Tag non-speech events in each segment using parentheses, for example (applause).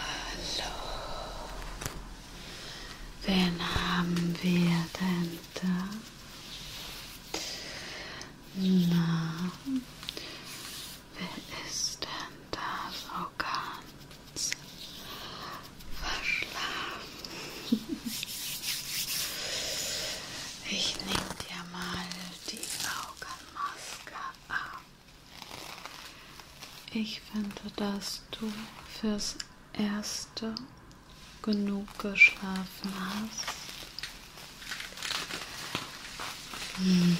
Hallo. Wen haben wir denn da? Na, wer ist denn da so ganz verschlafen? Ich nehme dir mal die Augenmaske ab. Ich finde, dass du fürs Erste genug geschlafen hast. Hm.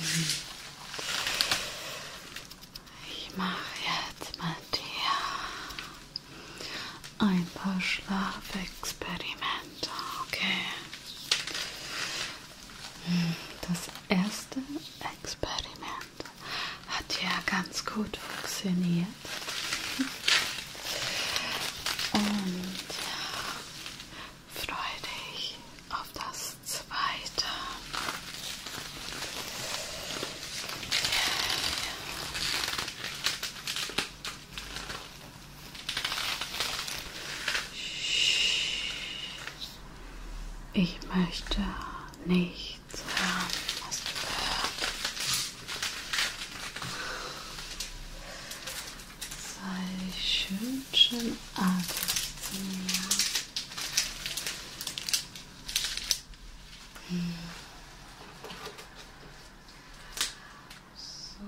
Ich mache jetzt mit dir ein paar Schlafexperimente, okay? Hm. Das erste Experiment hat ja ganz gut funktioniert. Und freue dich auf das zweite. Yeah. Ich möchte nichts haben. Hast du gehört? Sei schön, schön artig zu mir. Hm. So.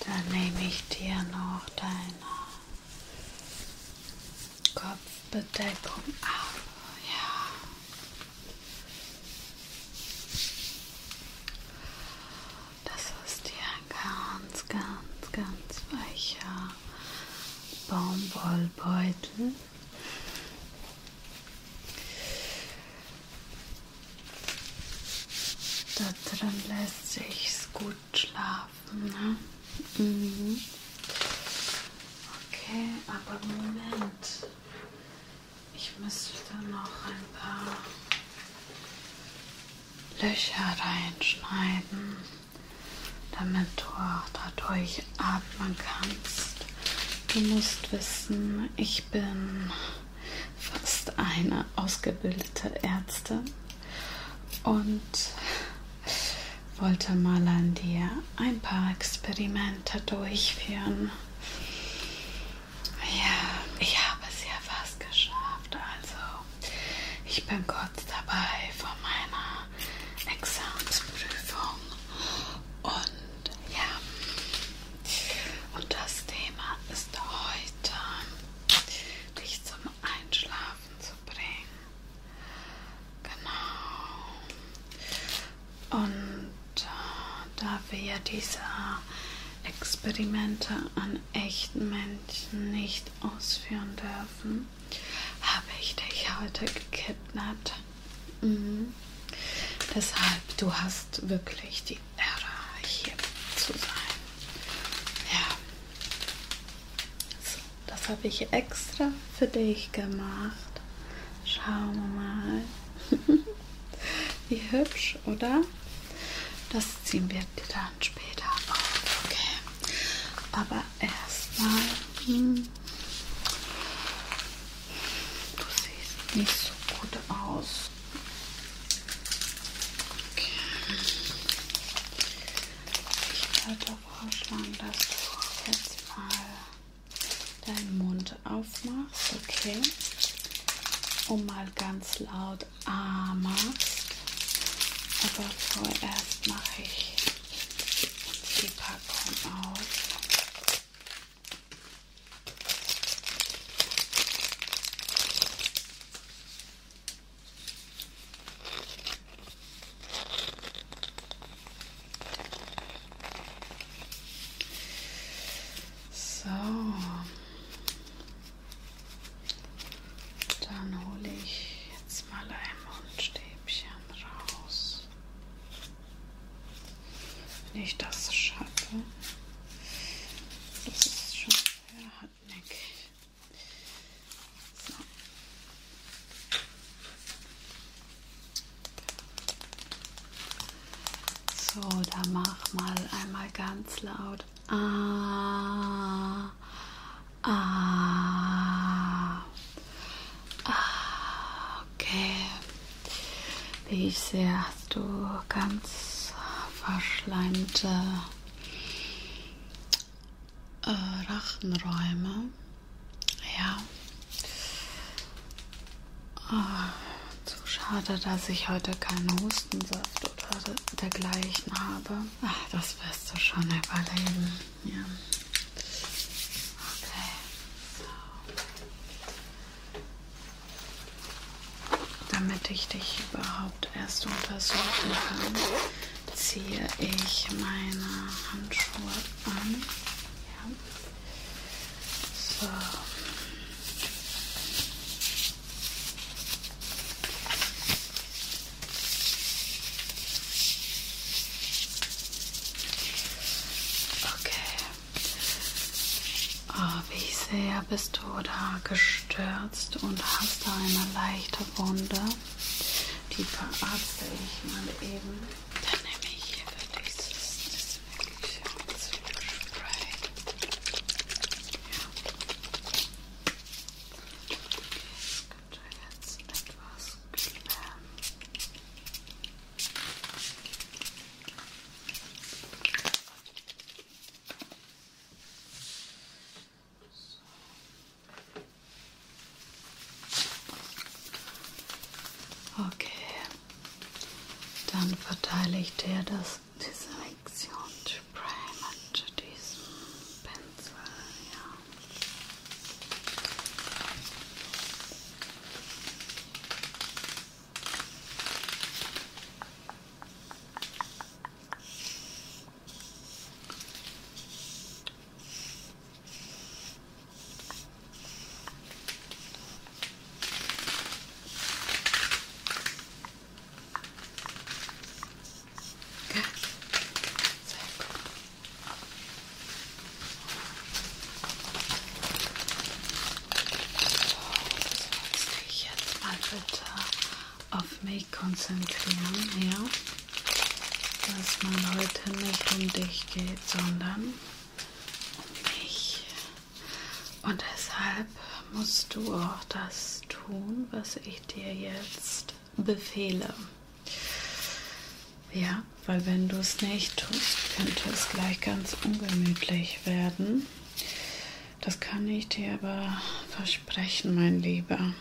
Dann nehme ich dir noch deine Kopfbedeckung ab. Ja. Das ist dir ein ganz, ganz, ganz weicher Baumwollbeutel. Da drin lässt sich's gut schlafen, ne? Mhm. Okay, aber Moment. Ich müsste da noch ein paar Löcher reinschneiden, damit du auch dadurch atmen kannst. Du musst wissen, ich bin fast eine ausgebildete Ärztin und wollte mal an dir ein paar Experimente durchführen. Ja, ich habe es ja fast geschafft. Also, ich bin kurz dabei vor meiner Examensprüfung. Und ja, und das Thema ist heute, dich zum Einschlafen zu bringen. Genau. Und äh, da wir ja diese Experimente an echten Menschen nicht ausführen dürfen, habe ich dich heute gekidnappt. Mhm. Deshalb, du hast wirklich die Ära hier zu sein. Ja. So, das habe ich extra für dich gemacht. Schauen wir mal. (laughs) Wie hübsch, oder? Das ziehen wir dann später auf. Okay. Aber erstmal. Hm, du siehst nicht so gut aus. Okay. Ich würde vorschlagen, dass du jetzt mal deinen Mund aufmachst, okay? Und mal ganz laut A machst. Aber vorerst mache ich die Packung auf. So. Dann hole ich jetzt mal ein Mundstäbchen raus. Wenn ich das schaffe. Das ist schon. Ja, hat weg. So. So, da mach mal einmal ganz laut. Ah, ah, ah, okay. Wie ich sehe, hast du ganz verschleimte äh, Rachenräume. Ja. Oh, zu schade, dass ich heute keinen Hustensaft oder dergleichen habe. Ach, das wirst du schon überleben. Ja. Okay. So. Damit ich dich überhaupt erst untersuchen kann, ziehe ich meine Handschuhe an. Ja. So. Okay wie sehr bist du da gestürzt und hast da eine leichte Wunde? Die verarzte ich mal eben. Dann nehme ich hier für dich das Desinfektionsspray. Ja. Okay, könnte jetzt etwas klären. So. Okay, dann verteile ich dir das, diese Lektionsspray mit diesem Pinsel. Ja. Sehr gut. So, das jetzt mal bitte auf mich konzentrieren, ja? Dass man heute nicht um dich geht, sondern um mich. Und deshalb musst du auch das tun, was ich dir jetzt befehle. Ja, weil wenn du es nicht tust, könnte es gleich ganz ungemütlich werden. Das kann ich dir aber versprechen, mein Lieber.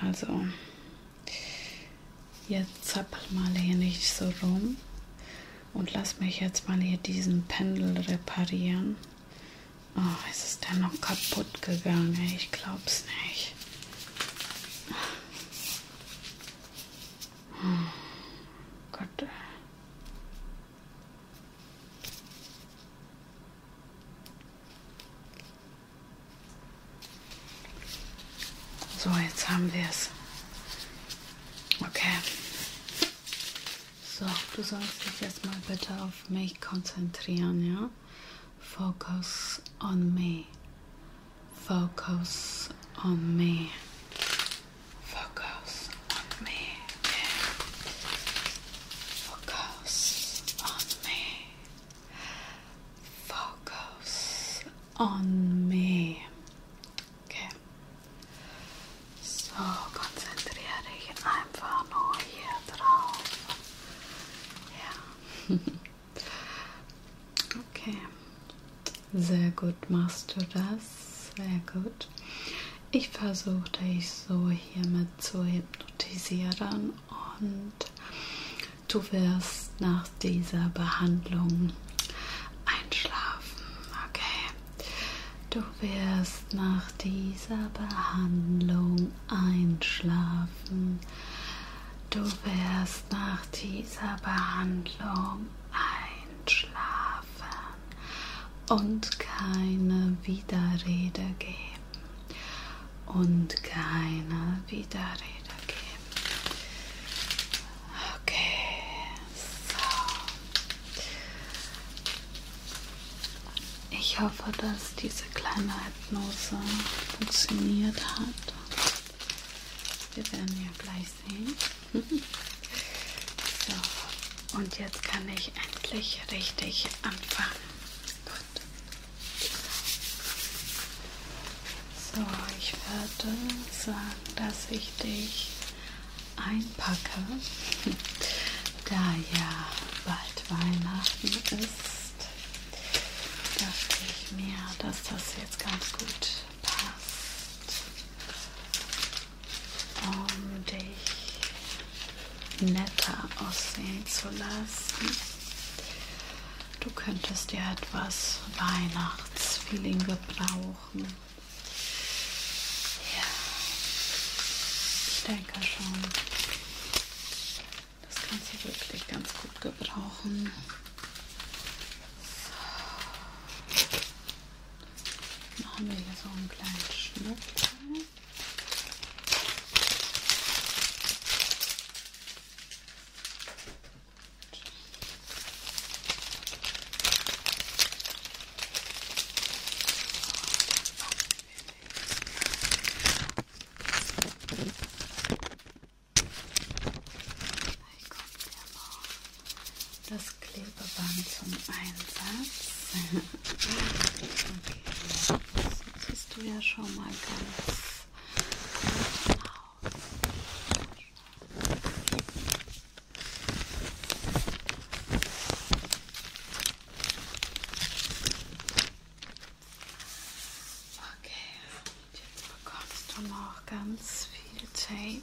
Also, jetzt zappel mal hier nicht so rum und lass mich jetzt mal hier diesen Pendel reparieren. Oh, ist es denn noch kaputt gegangen? Ich glaub's nicht. Oh, Gott. So, jetzt haben wir es. Okay. So, du sollst dich erstmal bitte auf mich konzentrieren, ja? Focus on me. Focus on me. Focus on me. Yeah. Focus. Focus on me. Focus on me. Okay. So, konzentriere dich einfach nur hier drauf. Ja. (laughs) Okay. Sehr gut machst du das. Sehr gut und ich versuche dich so hiermit zu hypnotisieren und du wirst nach dieser Behandlung einschlafen. Okay, du wirst nach dieser Behandlung einschlafen. Du wirst nach dieser Behandlung einschlafen und keine Widerrede geben geben und keine Widerrede geben. Okay, so. Ich hoffe, dass diese kleine Hypnose funktioniert hat. Wir werden ja gleich sehen. (laughs) so, und jetzt kann ich endlich richtig anfangen. So, ich werde sagen, dass ich dich einpacke, (laughs) da ja bald Weihnachten ist, dachte ich mir, dass das jetzt ganz gut passt, um dich netter aussehen zu lassen. Du könntest dir etwas Weihnachtsfeeling gebrauchen. Ja, ich denke schon. Das kannst du wirklich ganz gut gebrauchen. So. Machen wir hier so einen kleinen Schnitt das Klebeband zum Einsatz. (laughs) okay, das siehst du ja schon mal ganz gut aus. Okay, und jetzt bekommst du noch ganz viel Tape.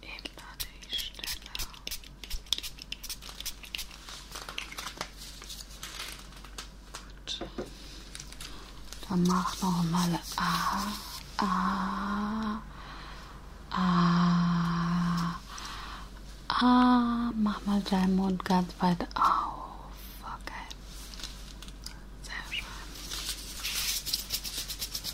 eben an die Stelle. Gut. Dann mach nochmal A, A, A, A. Mach mal deinen Mund ganz weit auf. Okay. Sehr schön.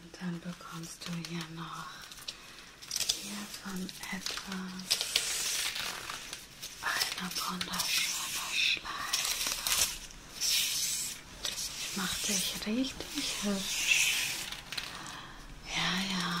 Und dann bekommst du hier noch hiervon etwas eine wunderschöne Schleife. Die macht dich richtig hübsch. Ja, ja.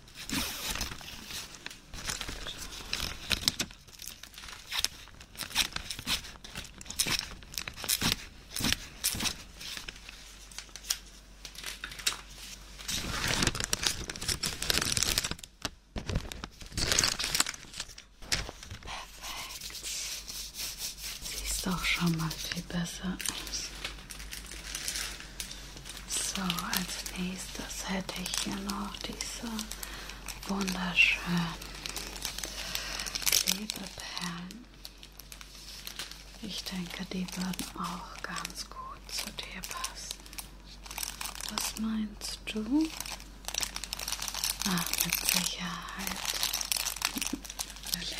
Perfekt. Siehst auch schon mal viel besser aus. So, als nächstes hätte ich hier noch diese wunderschönen Klebeperlen. Ich denke, die würden auch ganz gut zu dir passen. Was meinst du? Ach, mit Sicherheit. (laughs) Natürlich.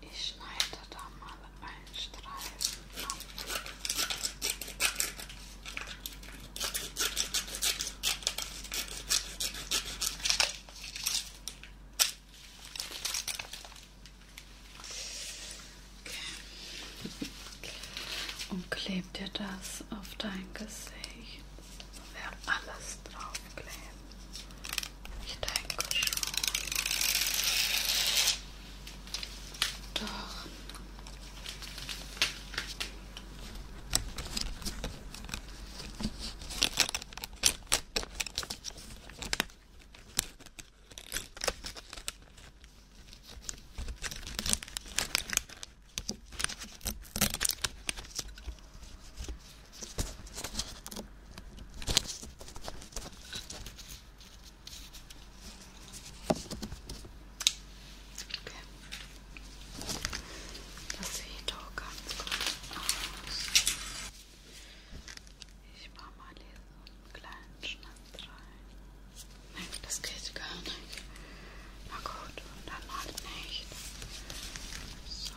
Ich schneide da mal einen Streifen ab. Okay. Und kleb dir das auf dein Gesicht wir alles draufkleben. Ich denke schon. Doch. Das sieht doch ganz gut aus. Ich mache mal hier so einen kleinen Schnitt rein. Nein, das geht gar nicht. Na gut, dann macht nicht. So. So.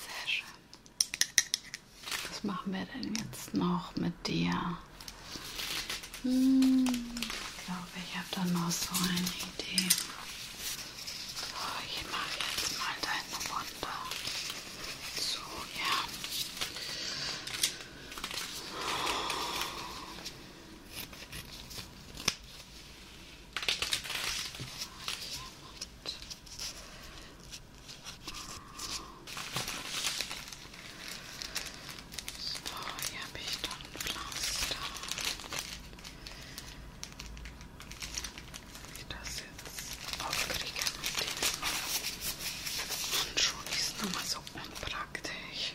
Sehr schön. Was machen wir denn jetzt noch mit dir? Hm, ich glaube, ich habe da noch so eine Idee. Oh, ich mache jetzt mal deine Wunder. So, ja. So, hier habe ich dann Pflaster. Wie das jetzt aufkriege mit diesen Handschuhen ist nochmal so unpraktisch.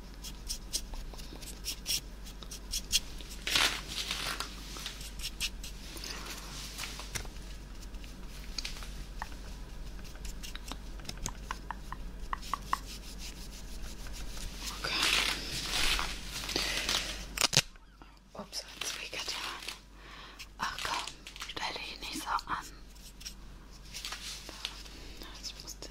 Okay. Ups, hat's wehgetan. Ach komm, stell dich nicht so an. Jetzt musst du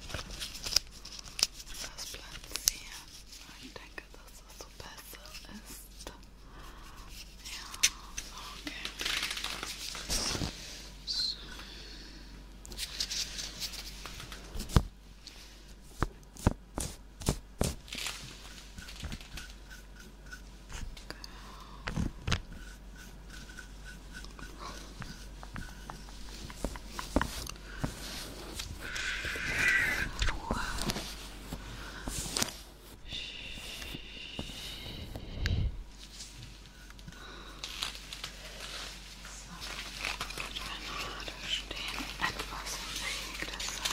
das platzieren, weil ich denke, dass es das so besser ist. Ja, okay. So. Okay. Ruhe. So, Granate stehen etwas im Weg, deshalb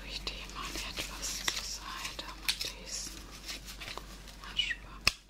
durch die man etwas zur Seite mit diesem Aschbacken.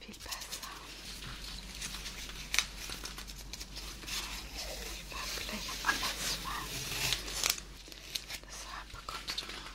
Viel besser. Vielleicht anders machen. Das bekommst du noch.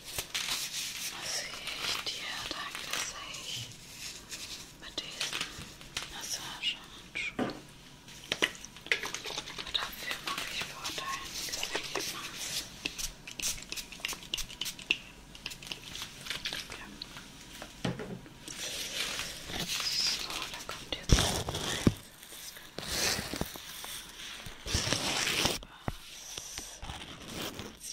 Was sehe ich dir? Danke, dass ich mit diesen Massagehandschuhen. Dafür mache ich vor deinem Ergebnis. Okay. So, da kommt jetzt rein. Das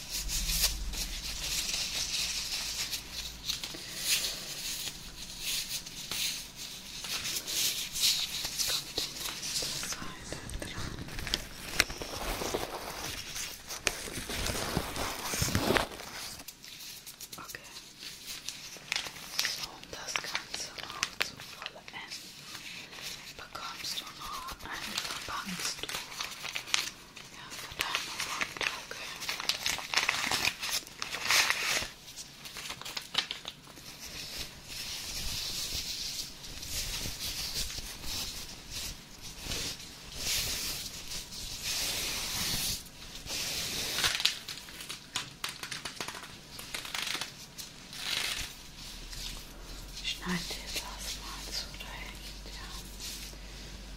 Jetzt kommt die nächste Seite dran. Okay. So, um das Ganze noch zu vollenden, bekommst du noch ein Verbandstuch. Ja, von deinem Mund, okay. Ich schneide dir das mal zurecht, ja.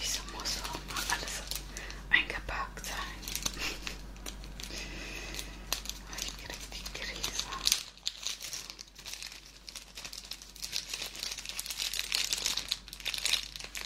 Wieso muss auch mal alles eingepackt sein? ich krieg die Krise.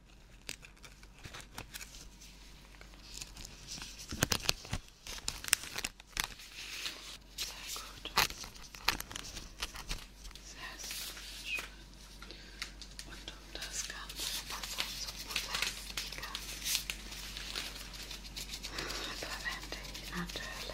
Sehr gut. Sehr, sehr schön. Und um das ganze Wasser zu bewältigen, verwende ich natürlich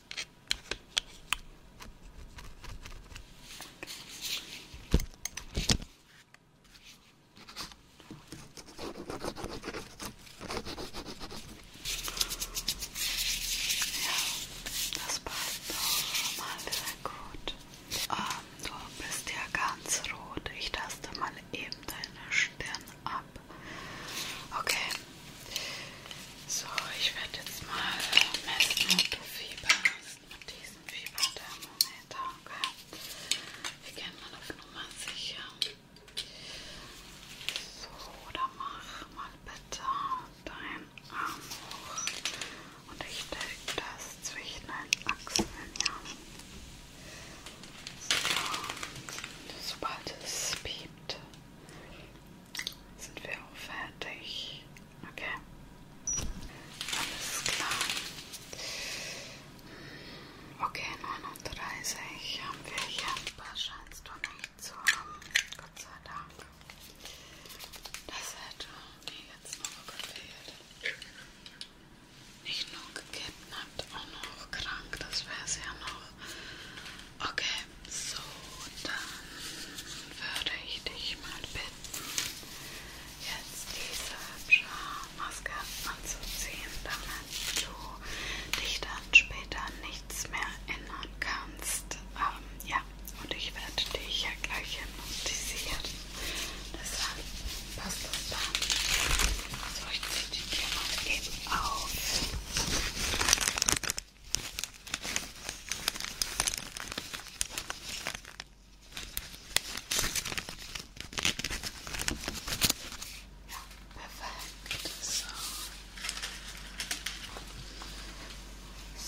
Ja, das passt doch mal sehr gut. Ähm, du bist ja ganz rot. Ich taste mal eben deine Stirn ab. Okay. So, ich werde jetzt mal messen, ob du Fieber hast mit diesem Fieberthermometer. Okay? Wir gehen mal auf Nummer sicher. So, dann mach mal bitte deinen Arm hoch und ich stecke das zwischen den Achseln. Ja. So, sobald es piept, sind wir auch fertig. Okay. Alles klar. Okay, 39 haben wir hier. Was scheinst du nicht zu haben? Gott sei Dank. Das hätte mir jetzt noch gefehlt. Nicht nur gekidnappt, auch noch krank. Das wäre es ja noch. Okay, so, dann würde ich dich mal bitten, jetzt diese Maske anzuziehen, damit du dich dann später nichts mehr ändern kannst. Ähm, ja, und ich werde dich ja gleich hypnotisieren. Deshalb passt das dann. So, ich ziehe die Tür mal eben auf. Perfekt. So.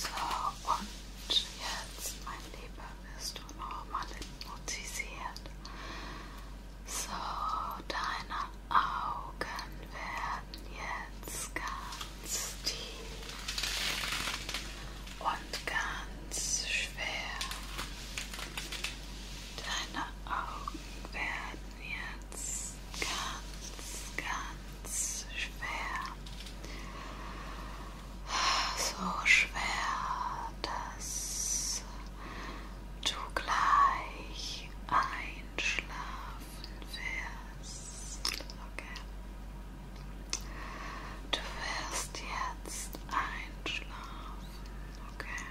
So, und jetzt, mein Lieber, wirst du nochmal hypnotisiert. So, deine Augen werden jetzt ganz tief und ganz schwer. Deine Augen werden jetzt ganz, ganz schwer. So schwer, dass du gleich einschlafen wirst. Okay. Du wirst jetzt einschlafen, okay?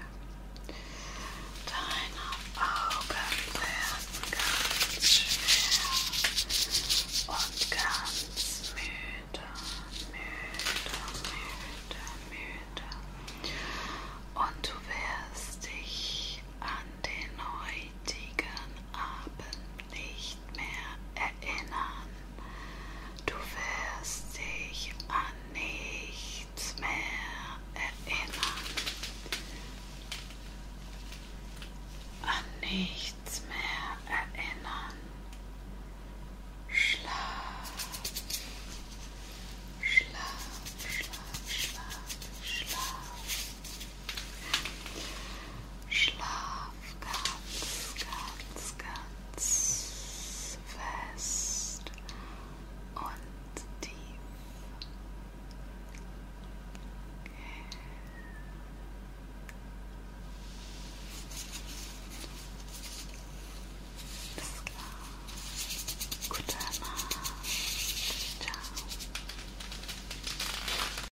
Deine Augen werden ganz schwer und ganz müde, müde, müde, müde. Und du wirst dich an den heutigen Abend nicht nicht mehr erinnern. Du wirst dich an nichts mehr erinnern. An nichts mehr erinnern. Schlaf, schlaf, schlaf, schlaf, schlaf. Schlaf ganz, ganz, ganz fest und tief. Okay. Alles klar. Gute Nacht. Ciao.